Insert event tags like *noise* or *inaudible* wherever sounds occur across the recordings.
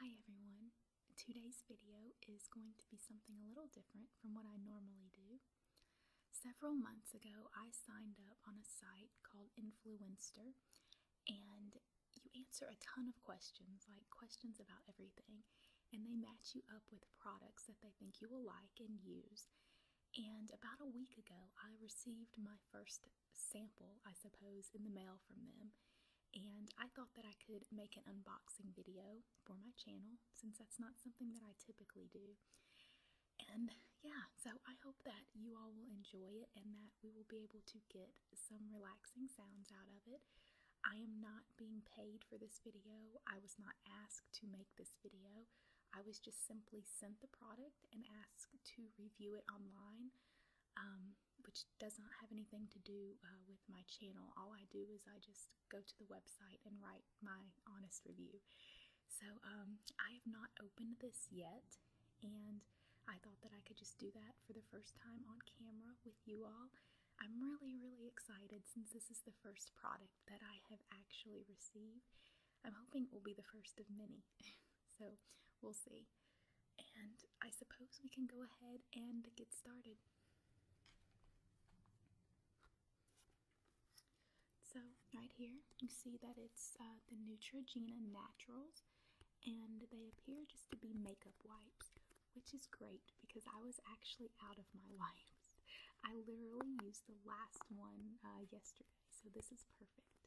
Hi everyone! Today's video is going to be something a little different from what I normally do. Several months ago, I signed up on a site called Influencer, and you answer a ton of questions, like questions about everything, and they match you up with products that they think you will like and use. And about a week ago, I received my first sample, I suppose, in the mail from them. And I thought that I could make an unboxing video for my channel since that's not something that I typically do. And yeah, so I hope that you all will enjoy it and that we will be able to get some relaxing sounds out of it. I am not being paid for this video. I was not asked to make this video. I was just simply sent the product and asked to review it online. Um, which does not have anything to do uh, with my channel. All I do is I just go to the website and write my honest review. So um, I have not opened this yet, and I thought that I could just do that for the first time on camera with you all. I'm really, really excited since this is the first product that I have actually received. I'm hoping it will be the first of many. *laughs* So we'll see. And I suppose we can go ahead and get started. So, right here, you see that it's uh, the Neutrogena Naturals, and they appear just to be makeup wipes, which is great because I was actually out of my *laughs* wipes. I literally used the last one uh, yesterday, so this is perfect.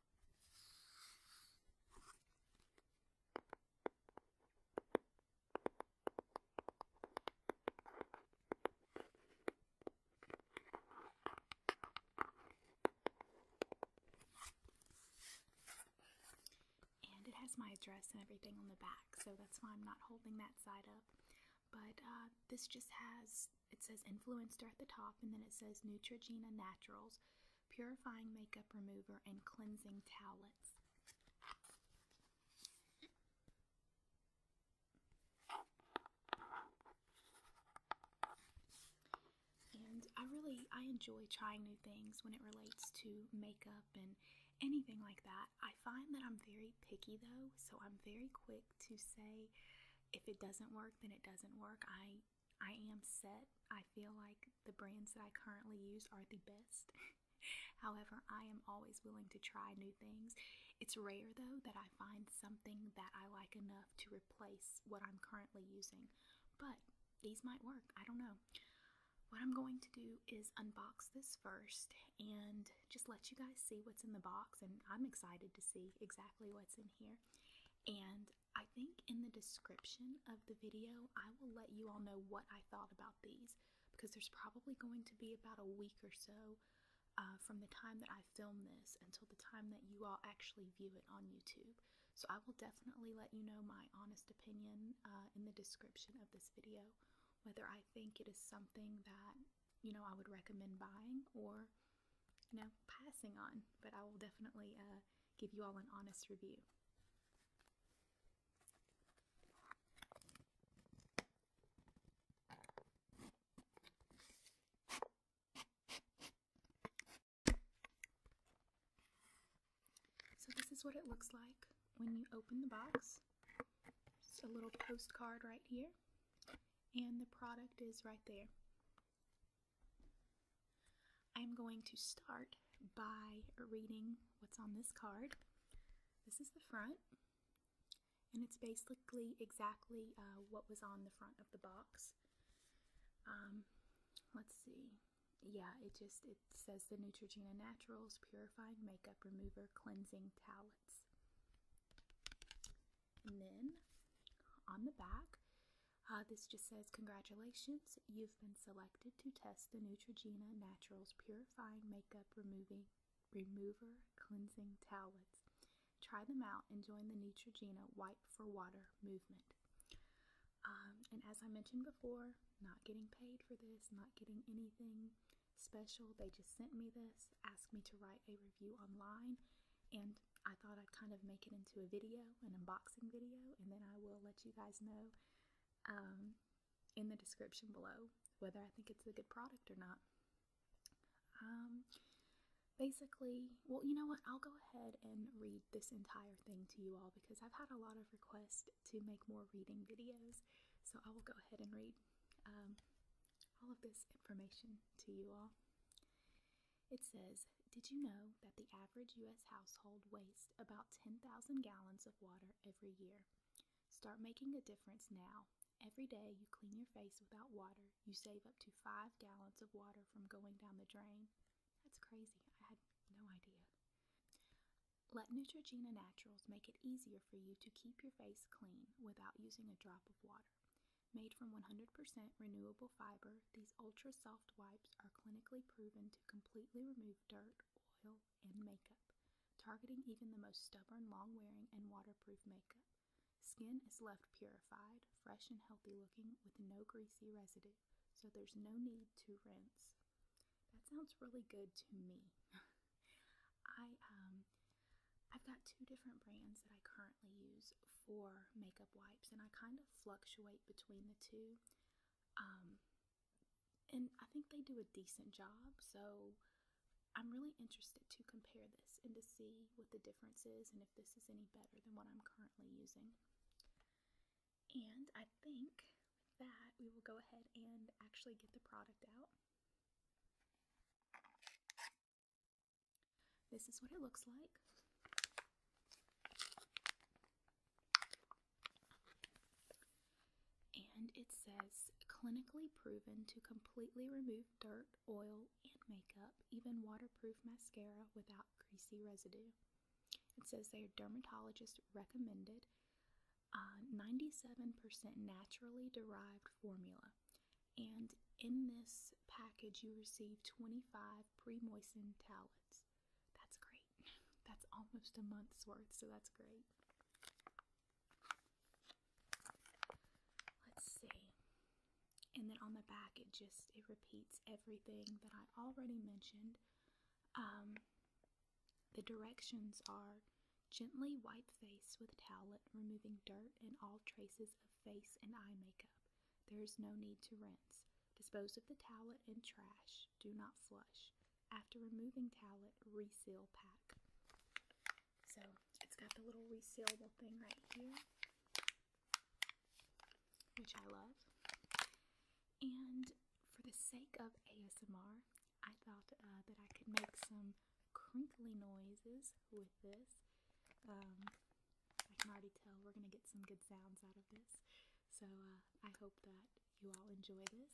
And it has my address and everything on the back, so that's why I'm not holding that side up. But uh, this just has it says influencer at the top, and then it says Neutrogena Naturals Purifying Makeup Remover and Cleansing Towels. And I really I enjoy trying new things when it relates to makeup and anything like that. I find that I'm very picky though, so I'm very quick to say if it doesn't work, then it doesn't work. I I am set. I feel like the brands that I currently use are the best. *laughs* However, I am always willing to try new things. It's rare though that I find something that I like enough to replace what I'm currently using, but these might work. I don't know. What I'm going to do is unbox this first and just let you guys see what's in the box. And I'm excited to see exactly what's in here. And I think in the description of the video, I will let you all know what I thought about these because there's probably going to be about a week or so uh, from the time that I film this until the time that you all actually view it on YouTube. So I will definitely let you know my honest opinion uh, in the description of this video whether I think it is something that you know I would recommend buying or you know passing on. But I will definitely uh, give you all an honest review. So this is what it looks like when you open the box. Just a little postcard right here and the product is right there. I'm going to start by reading what's on this card. This is the front, and it's basically exactly uh, what was on the front of the box. Um, let's see. Yeah, it just it says the Neutrogena Naturals Purifying Makeup Remover Cleansing Tallow. And then on the back, uh, this just says, Congratulations, you've been selected to test the Neutrogena Naturals Purifying Makeup Removing Remover Cleansing Towels. Try them out and join the Neutrogena Wipe for Water movement. Um, and as I mentioned before, not getting paid for this, not getting anything special. They just sent me this, asked me to write a review online, and I thought I'd kind of make it into a video, an unboxing video, and then I will let you guys know um, in the description below whether I think it's a good product or not. Um, basically, well, you know what? I'll go ahead and read this entire thing to you all because I've had a lot of requests to make more reading videos, so I will go ahead and read um, all of this information to you all. It says, Did you know that the average U.S. household wastes about 10,000 gallons of water every year? Start making a difference now. Every day you clean your face without water, you save up to five gallons of water from going down the drain. That's crazy. I had no idea. Let Neutrogena Naturals make it easier for you to keep your face clean without using a drop of water. Made from 100% renewable fiber, these ultra soft wipes are clinically proven to completely remove dirt, oil, and makeup, targeting even the most stubborn, long wearing, and waterproof makeup. Skin is left purified, fresh, and healthy looking with no greasy residue, so there's no need to rinse. That sounds really good to me. *laughs* I um I've got two different brands that I currently use for makeup wipes and I kind of fluctuate between the two. Um and I think they do a decent job, so I'm really interested to compare this and to see what the difference is and if this is any better than what I'm currently using. And I think with that, we will go ahead and actually get the product out. This is what it looks like. And it says clinically proven to completely remove dirt, oil, and makeup, even waterproof mascara without greasy residue. It says they are dermatologist recommended, 97% naturally derived formula. And in this package, you receive 25 pre moistened towels. That's great. *laughs* That's almost a month's worth, so that's great. Let's see. And then on the back, it just it repeats everything that I already mentioned um, the directions are gently wipe face with towelette, removing dirt and all traces of face and eye makeup. There is no need to rinse. Dispose of the towelette in trash. Do not flush. After removing towelette, reseal pack. So it's got the little resealable thing right here which I love. And for the sake of ASMR, I thought uh, that I could make some crinkly noises with this. Um, I can already tell we're going to get some good sounds out of this. So uh, I hope that you all enjoy this.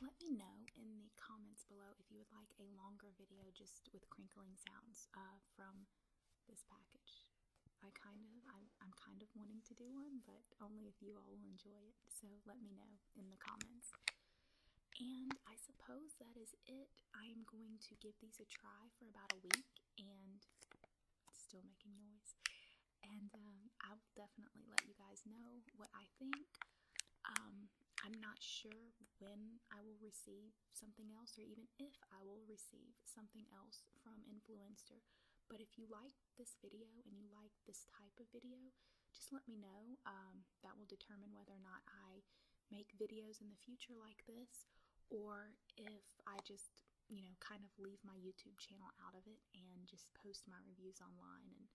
Let me know in the comments below if you would like a longer video just with crinkling sounds uh, from this package. I kind of, I'm kind of wanting to do one, but only if you all will enjoy it. So let me know in the comments. And I suppose that is it. I am going to give these a try for about a week and still making noise. And um, I will definitely let you guys know what I think. Um, I'm not sure when I will receive something else or even if I will receive something else from Influencer. But if you like this video and you like this type of video, just let me know. Um, um, that will determine whether or not I make videos in the future like this or if I just, you know, kind of leave my YouTube channel out of it and just post my reviews online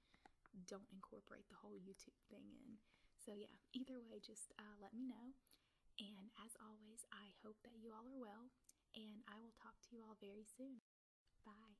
and don't incorporate the whole YouTube thing in. So, yeah, either way, just uh, let me know. And as always, I hope that you all are well, and I will talk to you all very soon. Bye.